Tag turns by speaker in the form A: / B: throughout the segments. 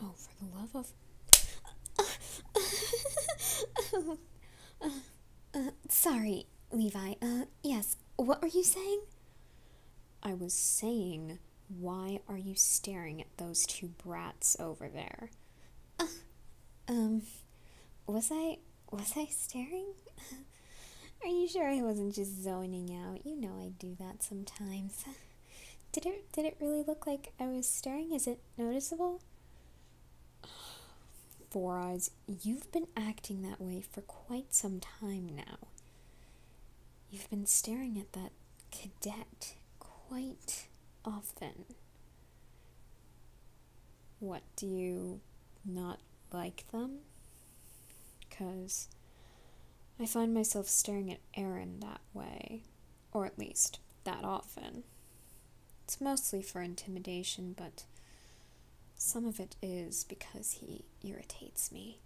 A: Oh, for the love of. sorry, Levi. Uh, yes, what were you saying? I was saying, why are you staring at those two brats over there? Uh, um, was I. was I staring? Are you sure I wasn't just zoning out? You know I do that sometimes. Did it did it really look like I was staring? Is it noticeable? Four Eyes, you've been acting that way for quite some time now. You've been staring at that cadet quite often what do you not like them? Because I find myself staring at Aaron that way, or at least that often. It's mostly for intimidation, but some of it is because he irritates me.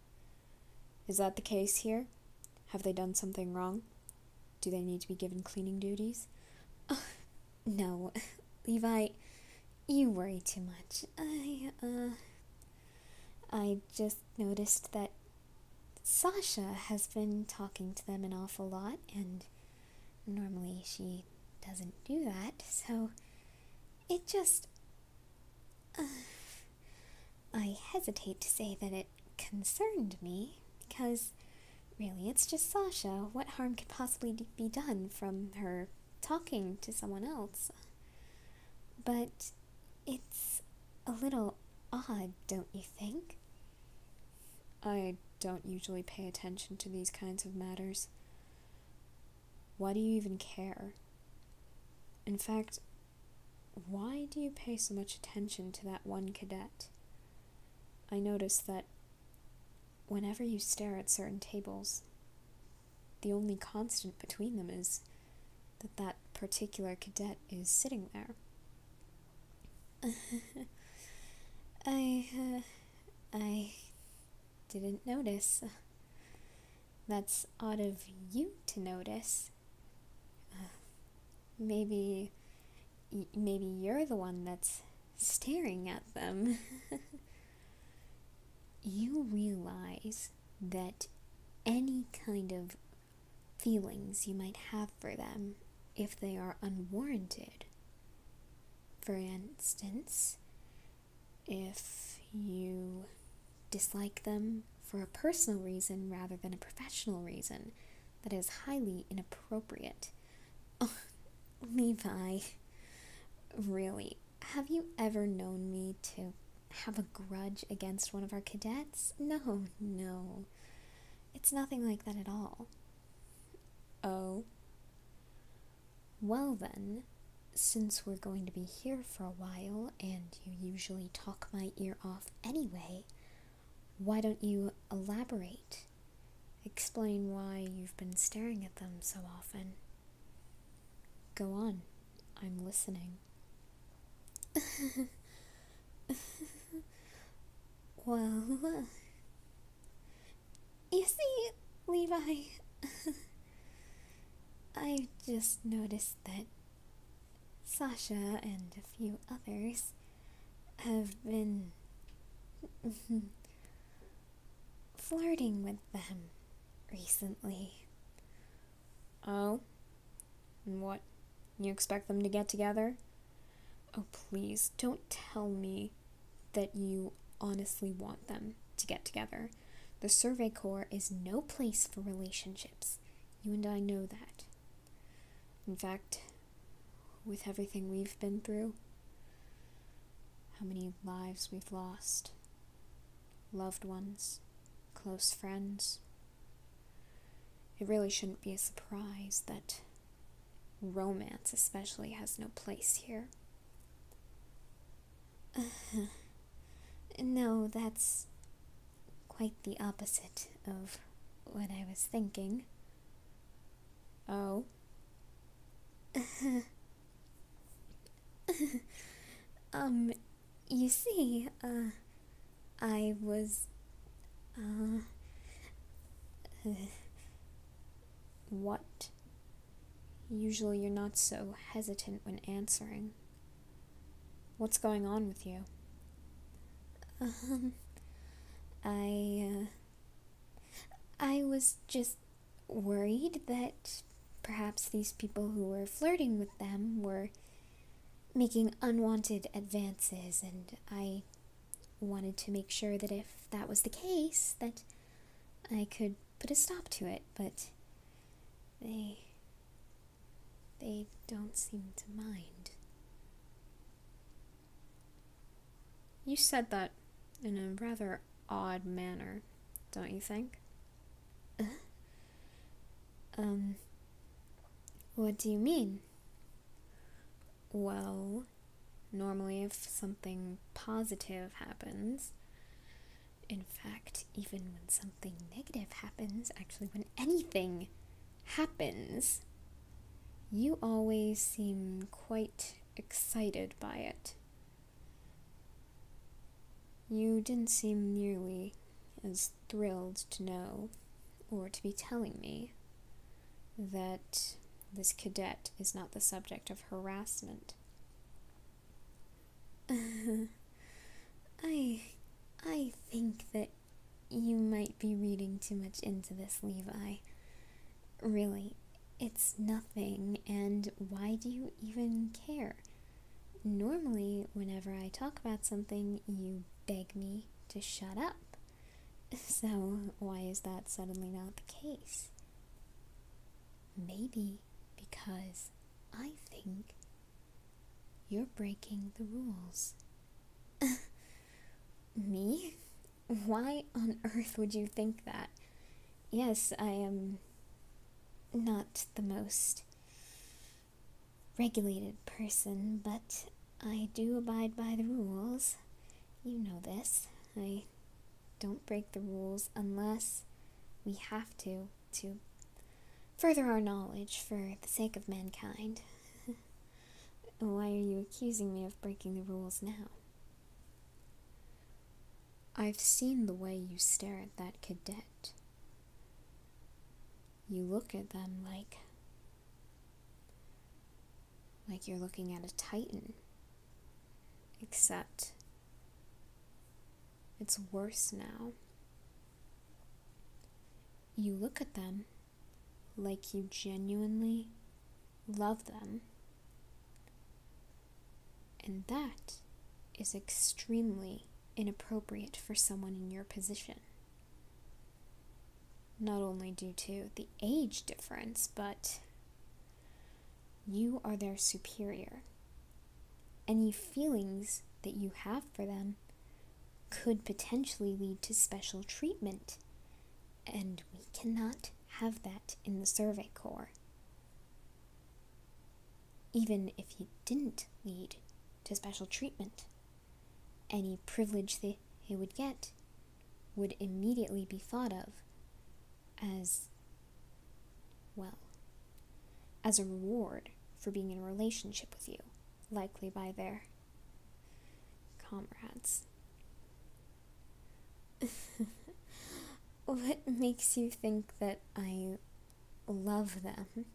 A: Is that the case here? Have they done something wrong? Do they need to be given cleaning duties? No, Levi, you worry too much. I, uh. I just noticed that Sasha has been talking to them an awful lot, and normally she doesn't do that, so it just. Uh, I hesitate to say that it concerned me, because really it's just Sasha. What harm could possibly be done from her talking to someone else. But it's a little odd, don't you think? I don't usually pay attention to these kinds of matters. Why do you even care? In fact, why do you pay so much attention to that one cadet? I noticed that Whenever you stare at certain tables, the only constant between them is that that particular cadet is sitting there. I, uh, I didn't notice. That's odd of you to notice. Uh, maybe, maybe you're the one that's staring at them, you realize that any kind of feelings you might have for them, if they are unwarranted, for instance, if you dislike them for a personal reason rather than a professional reason, that is highly inappropriate Oh, Levi, really, have you ever known me to have a grudge against one of our cadets? No, no. It's nothing like that at all. Oh. Well, then, since we're going to be here for a while and you usually talk my ear off anyway, why don't you elaborate? Explain why you've been staring at them so often. Go on, I'm listening. well, you see, Levi, I just noticed that Sasha and a few others have been flirting with them recently. Oh? And what? You expect them to get together? Oh, please, don't tell me that you honestly want them to get together. The Survey Corps is no place for relationships. You and I know that. In fact, with everything we've been through, how many lives we've lost, loved ones, close friends. It really shouldn't be a surprise that romance, especially, has no place here. no, that's quite the opposite of what I was thinking. Oh? um, you see, uh, I was, uh, what? Usually you're not so hesitant when answering. What's going on with you? Um, I, uh, I was just worried that perhaps these people who were flirting with them were making unwanted advances, and I wanted to make sure that if that was the case, that I could put a stop to it, but they. they don't seem to mind. You said that in a rather odd manner, don't you think? um, what do you mean? Well, normally if something positive happens, in fact, even when something negative happens, actually, when anything happens, you always seem quite excited by it. You didn't seem nearly as thrilled to know or to be telling me that this cadet is not the subject of harassment. I I think that you might be reading too much into this, Levi. Really, it's nothing, and why do you even care? Normally, whenever I talk about something, you beg me to shut up. So, why is that suddenly not the case? Maybe because I think you're breaking the rules. me? Why on earth would you think that? Yes, I am not the most regulated person, but I do abide by the rules. You know this. I don't break the rules unless we have to to further our knowledge for the sake of mankind. Why are you accusing me of breaking the rules now? I've seen the way you stare at that cadet. You look at them like. like you're looking at a titan. Except. it's worse now. You look at them like you genuinely love them. And that is extremely inappropriate for someone in your position. Not only due to the age difference, but you are their superior. Any feelings that you have for them could potentially lead to special treatment, and we cannot have that in the Survey Corps. Even if you didn't lead to special treatment, any privilege they, they would get would immediately be thought of as, well, as a reward for being in a relationship with you, likely by their Comrades. what makes you think that I love them?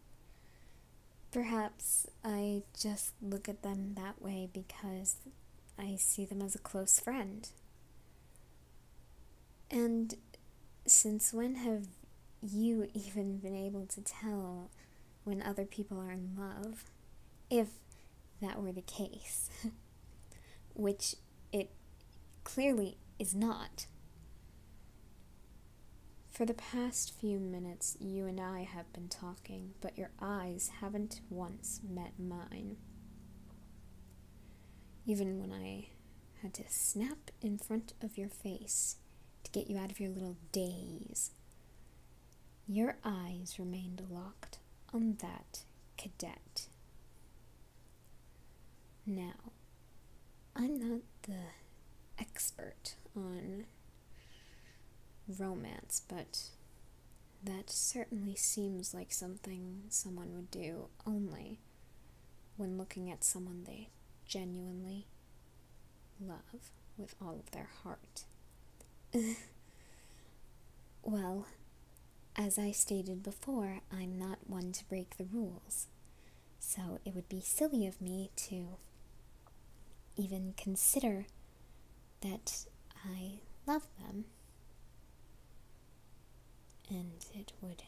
A: Perhaps I just look at them that way because I see them as a close friend. And since when have you even been able to tell when other people are in love, if that were the case, which it clearly is not. For the past few minutes, you and I have been talking, but your eyes haven't once met mine. Even when I had to snap in front of your face to get you out of your little daze, your eyes remained locked on that cadet. Now, I'm not the expert on romance, but that certainly seems like something someone would do only when looking at someone they genuinely love with all of their heart. well, as I stated before, I'm not one to break the rules, so it would be silly of me to even consider that I love them. And it would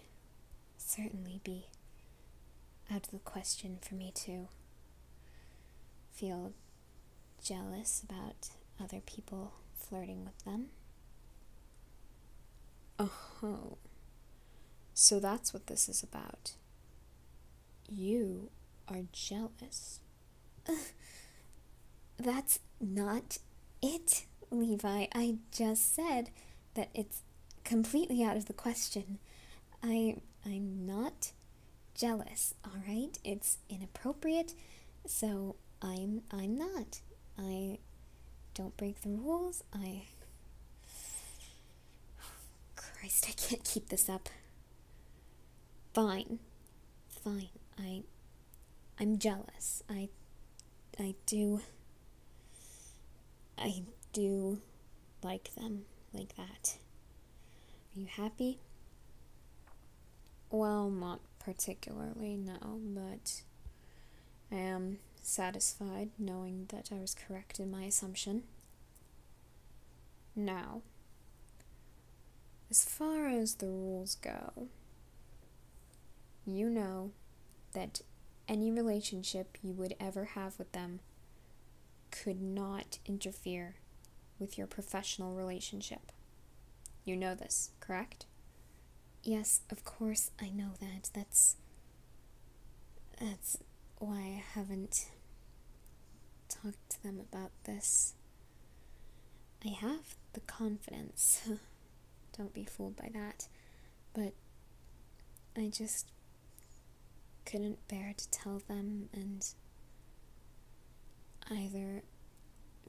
A: certainly be out of the question for me to feel jealous about other people flirting with them. Oh, so that's what this is about. You are jealous. That's not it, Levi. I just said that it's completely out of the question I I'm not jealous, all right? It's inappropriate, so I'm I'm not. I don't break the rules. I Christ, I can't keep this up. Fine. Fine. I I'm jealous. I I do I do like them like that. Are you happy? Well, not particularly, no, but I am satisfied knowing that I was correct in my assumption. Now, as far as the rules go, you know that any relationship you would ever have with them could not interfere with your professional relationship. You know this, correct? Yes, of course I know that. That's that's why I haven't talked to them about this. I have the confidence. Don't be fooled by that. But I just couldn't bear to tell them and either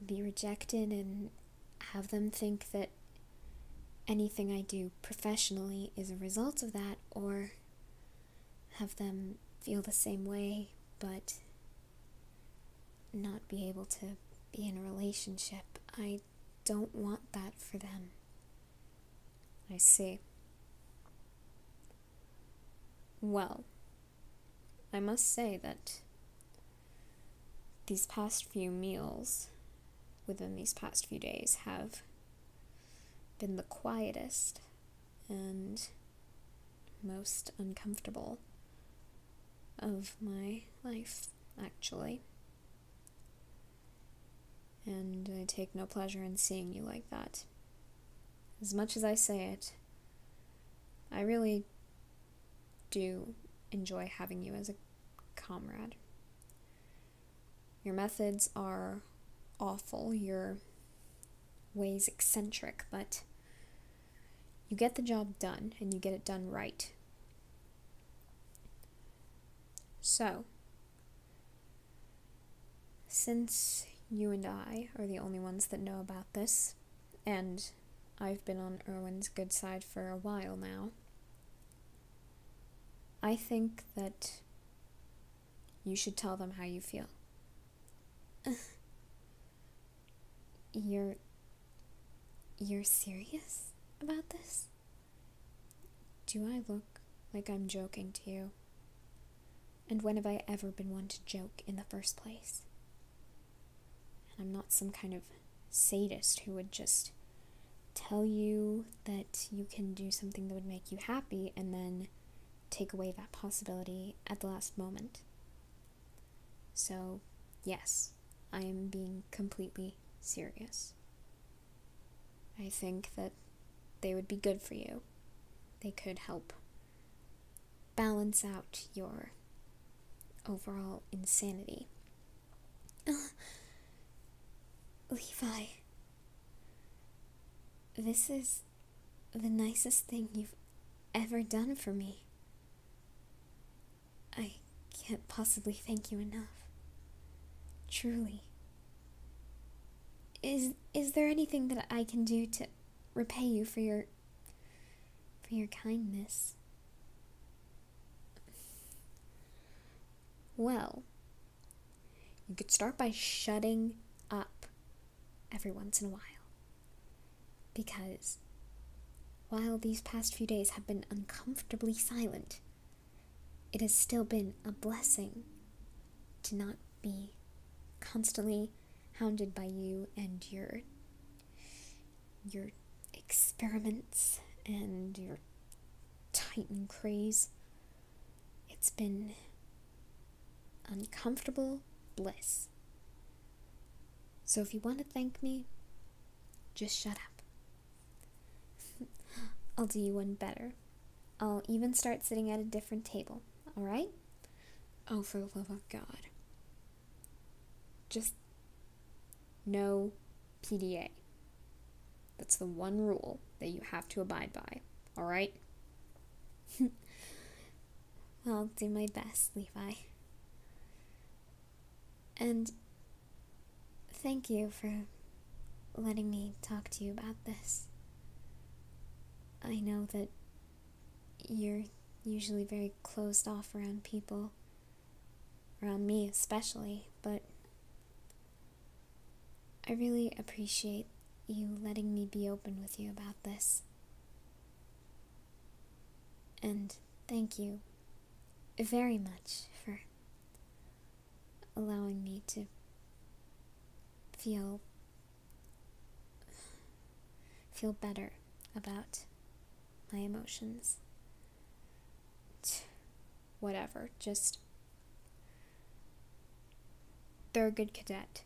A: be rejected and have them think that anything I do professionally is a result of that, or have them feel the same way but not be able to be in a relationship. I don't want that for them. I see. Well, I must say that these past few meals within these past few days have been the quietest and most uncomfortable of my life, actually. And I take no pleasure in seeing you like that. As much as I say it, I really do enjoy having you as a comrade. Your methods are awful, your ways eccentric, but you get the job done and you get it done right. So, since you and I are the only ones that know about this, and I've been on Erwin's good side for a while now, I think that you should tell them how you feel. you're. You're serious about this? Do I look like I'm joking to you? And when have I ever been one to joke in the first place? And I'm not some kind of sadist who would just tell you that you can do something that would make you happy and then take away that possibility at the last moment. So, yes, I am being completely serious. I think that they would be good for you. They could help balance out your overall insanity. Levi, this is the nicest thing you've ever done for me. I can't possibly thank you enough. Truly. Is is there anything that I can do to repay you for your for your kindness? Well, you could start by shutting up every once in a while. Because while these past few days have been uncomfortably silent, it has still been a blessing to not be constantly hounded by you and your your experiments and your titan craze it's been uncomfortable bliss so if you want to thank me just shut up I'll do you one better. I'll even start sitting at a different table, alright? Oh, for the love of God. Just no PDA. That's the one rule that you have to abide by, alright? I'll do my best, Levi. And Thank you for letting me talk to you about this. I know that you're usually very closed off around people, around me especially, but I really appreciate you letting me be open with you about this. And thank you very much for allowing me to feel feel better about my emotions whatever just they're a good cadet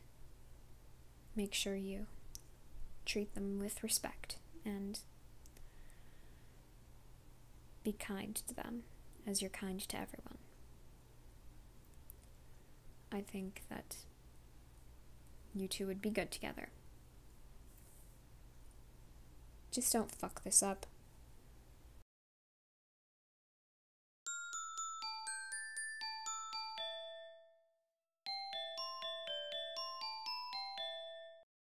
A: make sure you treat them with respect and be kind to them as you're kind to everyone. I think that you two would be good together. Just don't fuck this up.